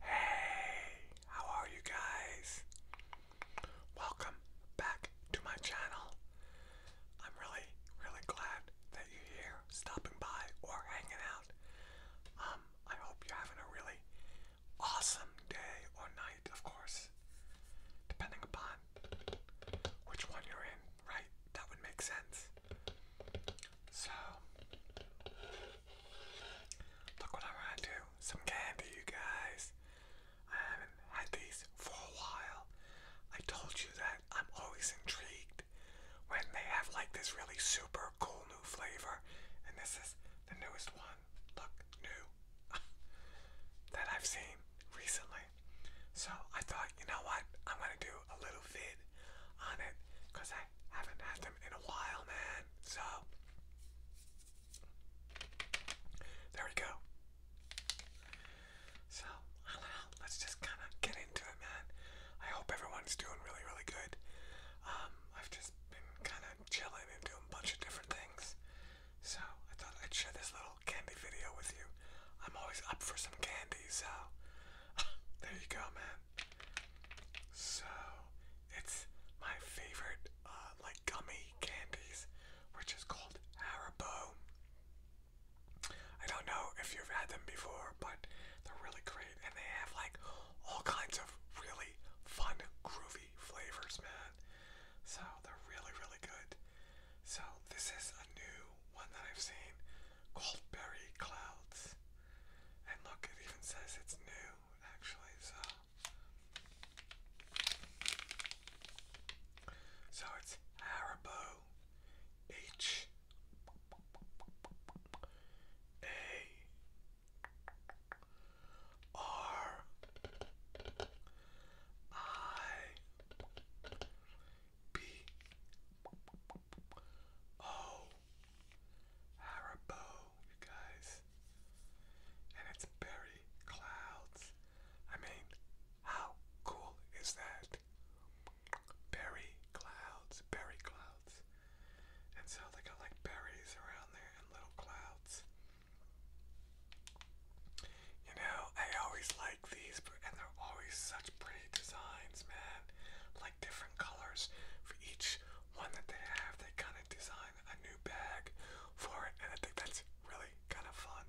Hey, how are you guys? Welcome back to my channel. I'm really, really glad that you're here stopping by or hanging out. Um, I hope you're having a really awesome day or night, of course, depending upon which one you're in, right? That would make sense. So, look what I want to do. Some candy, you guys. I haven't had these for a while. I told you that I'm always intrigued when they have like this really super cool new flavor. And this is the newest one. Look, new. that I've seen recently. So I thought, you know what? I'm going to do a little vid on it I haven't had them in a while, man. So, there we go. So, I Let's just kind of get into it, man. I hope everyone's doing really, really good. Um, I've just been kind of chilling and doing a bunch of different things. So, I thought I'd share this little candy video with you. I'm always up for some candy, so there you go, man. So it's my favorite uh, like gummy candies, which is called Haribo. I don't know if you've had them before, but they're really great, and they have like all kinds of really fun, groovy flavors, man. So they're really, really good. So this is a new one that I've seen. Goldberry Clouds. And look, it even says it's new, actually, so. So it's Haribo H A R I B O Haribo, you guys. And it's berry clouds. I mean, how cool is that? Berry clouds, berry clouds. And so they got like berries around there and little clouds. You know, I always like these, and they're always such pretty designs, man. Like different colors for each one that they have. They kind of design a new bag for it, and I think that's really kind of fun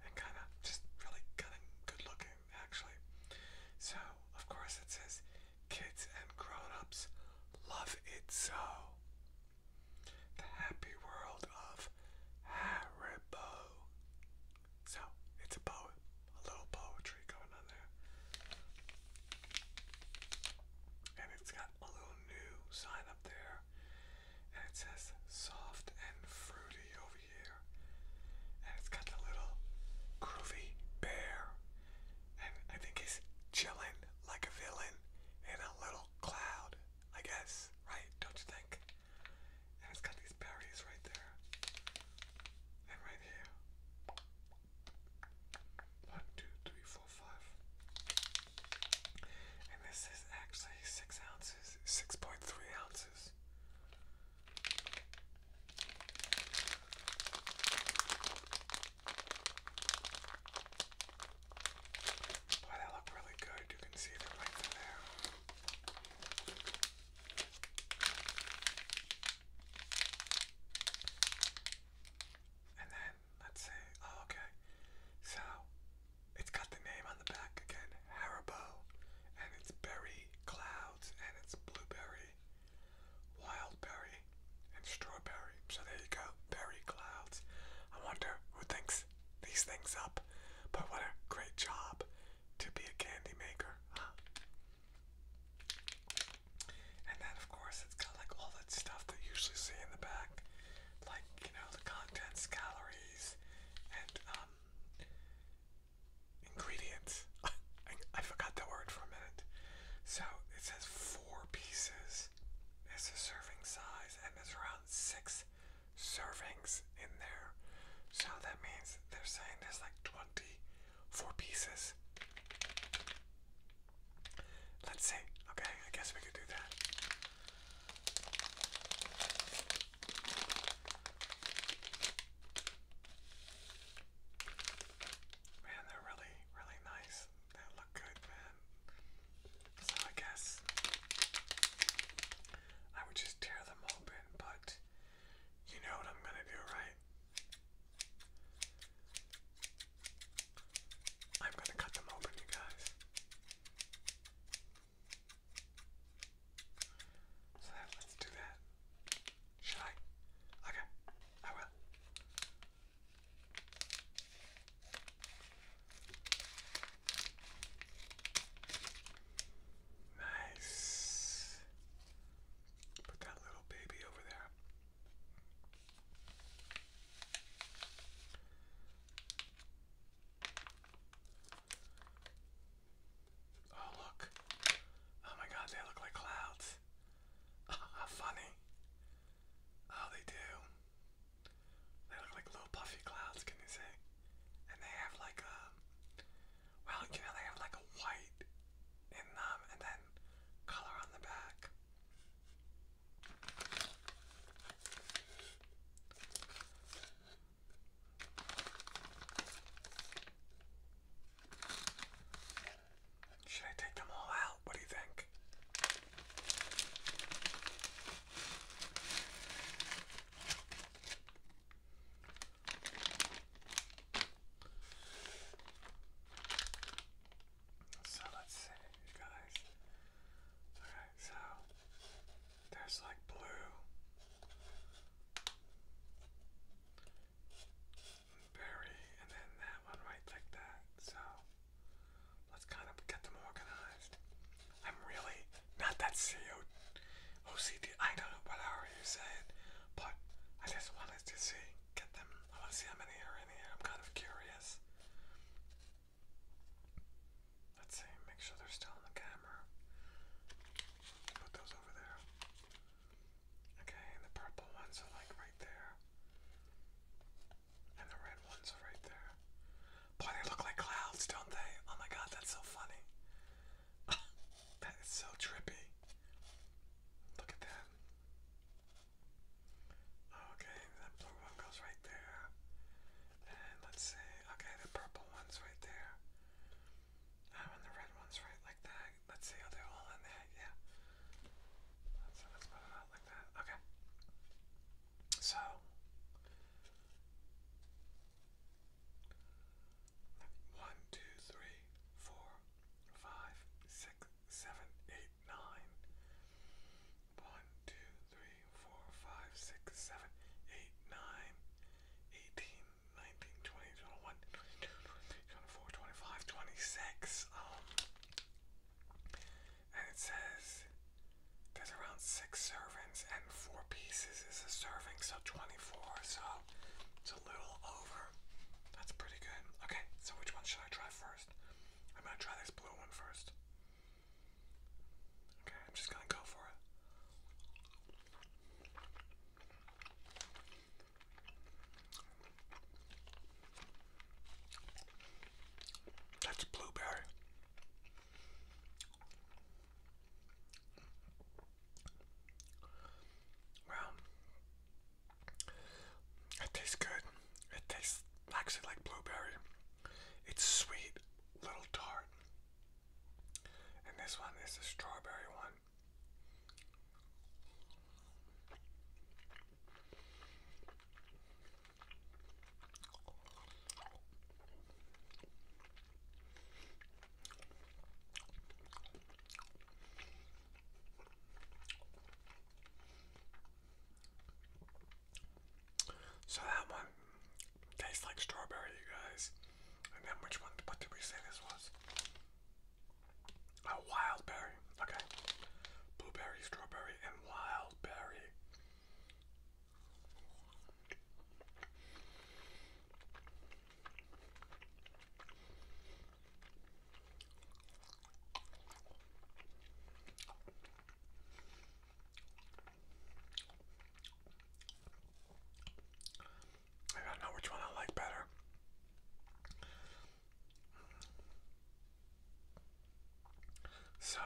and kind of just really kind of good looking, actually. So, of course, it says kids and grown ups love it so. The happy world of Haribo. So it's a poem, a little poetry going on there. And it's got a little new sign up there. And it says soft and fruity over here. And it's got the little groovy bear. And I think he's chilling like a villain in a little cloud, I guess, right? Don't you think? And it's got these berries right there. And right here. One, two, three, four, five. And this is actually six ounces, six point three ounces. Boy, that look really good. You can see the length of there. And then let's see. Oh, okay. So it's got the name on the back again, Haribo, and it's berry clouds, and it's blueberry, wild and strawberry. So there you go, berry clouds. I wonder who thinks these things up, but what a great job to be a candy maker, huh? And then, of course, it's got like all that stuff that you usually see in the back, like you know the contents, calories, and um, ingredients. I, forgot the word for a minute. So it says four pieces It's a serving size, and there's around six servings in there. So that means they're saying there's like 20 four pieces. Let's see. Okay, I guess we could do that. Man, they're really, really nice. They look good, man. So I guess I would just tear them open, but you know what I'm gonna do, right? I'm going to cut them open, you guys. So let's do that. Should I? Okay, I will. Nice. Put that little baby over there. Oh, look. Oh my god, they look like clouds. how funny. Oh, they do. They look like little puffy clouds, can you see? And they have like a um, well, you know, they have like a white in them and then color on the back. Should I take them all out? What do you think? So let's see, guys. Alright, so there's like blue. Berry, and then that one right like that. So let's kind of get them organized. I'm really not that CO I don't know what I hour you saying, but I just wanted to see get them. I want to see how many are in here. I'm kind of curious. Let's see, make sure they're still on the camera. Put those over there. Okay, the purple ones are like right there. And the red ones are right there. Boy, they look like clouds, don't they? Oh my god, that's so funny. that is so trippy. Look at that. Okay, that blue one goes right there. And let's see, okay, the purple one's right there. Ah, and the red one's right like that. Let's see, are they all in there? Yeah. So let's put them out like that. Okay. So. One, two, three, four, five, six, seven, eight, nine. One, two, three, four, five, six, seven, eight, nine. 18, 19, 20, 21, 22, 23, 24, 25, 26. Um, and it says there's around six servings and four pieces is a serving, so 24. So it's a little over that's pretty good. Okay, so which one should I try first? I'm gonna try this blue one first. Okay, I'm just gonna go for it. That's blueberry. Well, it tastes good. It tastes actually like blueberry. It's sweet, little tart. And this one is a strawberry one. So that one tastes like strawberry, you guys. And then which one? What did we say this was? A wild berry. Okay. Blueberry, strawberry, and wild berry. I don't know which one I like better. So,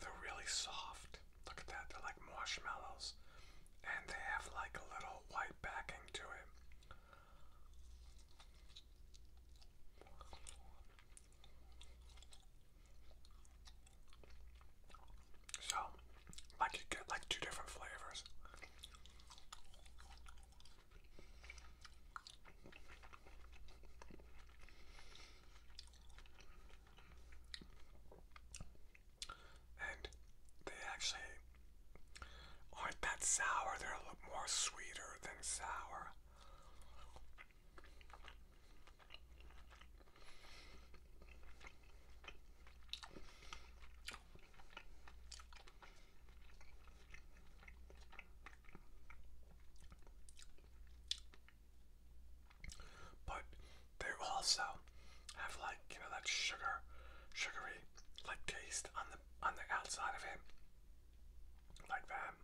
they're really soft. Look at that, they're like marshmallows. And they have like a little white backing to it. So, like you get like two different flavors. And they actually aren't that sour. They're a little more sweeter than sour. But they also have like, you know, that sugar, sugary like taste on the on the outside of it, like that.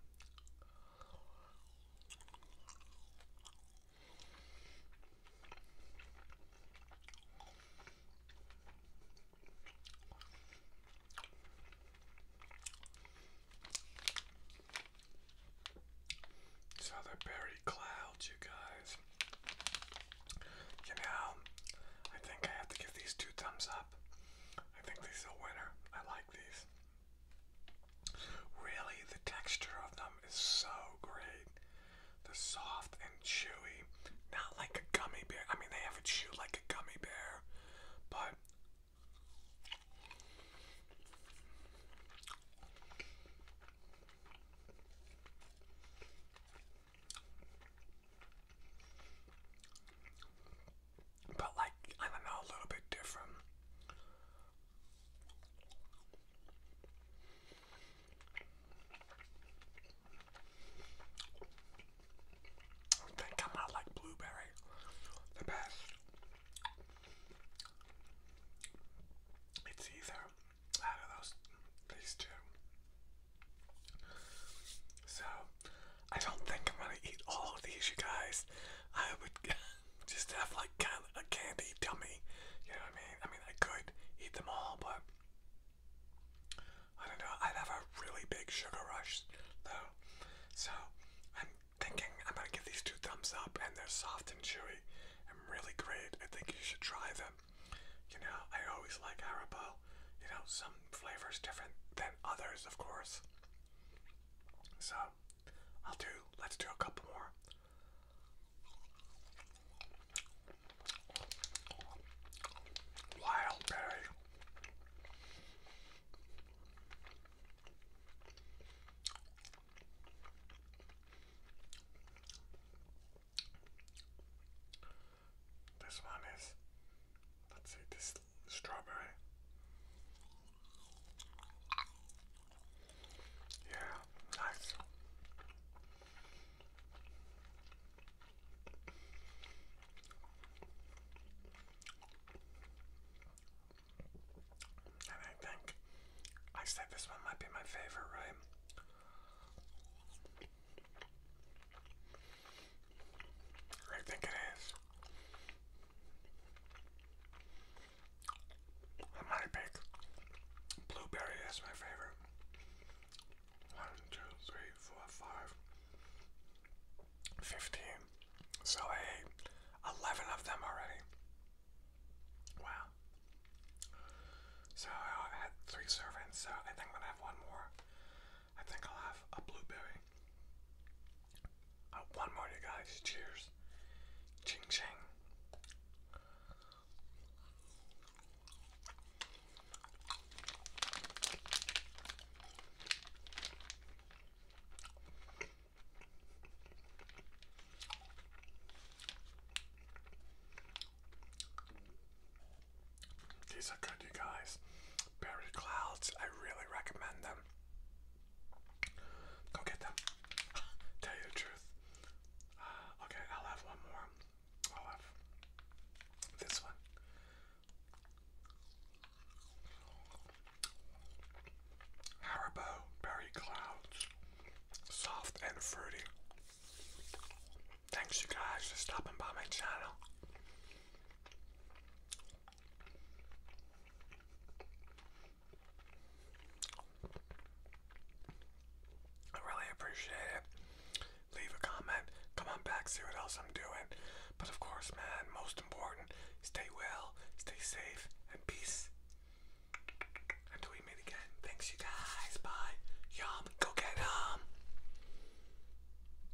So the berry clouds, you guys. You know, I think I have to give these two thumbs I think these are a winner. I like these. Really, the texture of them is so great. They're soft and chewy. Not like a gummy bear. I mean, they have a chew like a gummy bear, but but like, I don't know, a little bit different. I think I'm like blueberry the best. It's either out of those these two. So, I don't think I'm gonna eat all of these, you guys. I would just have like a candy tummy. You know what I mean? I mean, I could eat them all, but I don't know. I'd have a really big sugar rush, though. So, I'm thinking I'm gonna give these two thumbs up, and they're soft and chewy and really great. I think you should try them. You know, I always like Haribo. You know, some flavors different than others, of course. So, I'll do, let's do a couple more. Wild berry. This one is, let's see, this strawberry. Yeah, nice. And I think I said this one might be my favorite, right? I think it is. I might pick blueberry as my favorite. One, two, three, four, five, fifteen. So I ate eleven of them already. Wow. So I had three servings, so I think I'm gonna have one more. I think I'll have a blueberry. Uh, one more, you guys. Cheers. Ching ching. These are good, you guys. Berry Clouds, I really recommend them. Go get them. Tell you the truth. Uh, okay, I'll have one more. I'll have this one. Haribo Berry Clouds. Soft and fruity. Thanks, you guys, for stopping by my channel. I really appreciate it. Leave a comment. Come on back, see what else I'm doing. But of course, man, most important, stay well, stay safe, and peace. Until we meet again. Thanks, you guys. Bye. Yum. Go get 'em.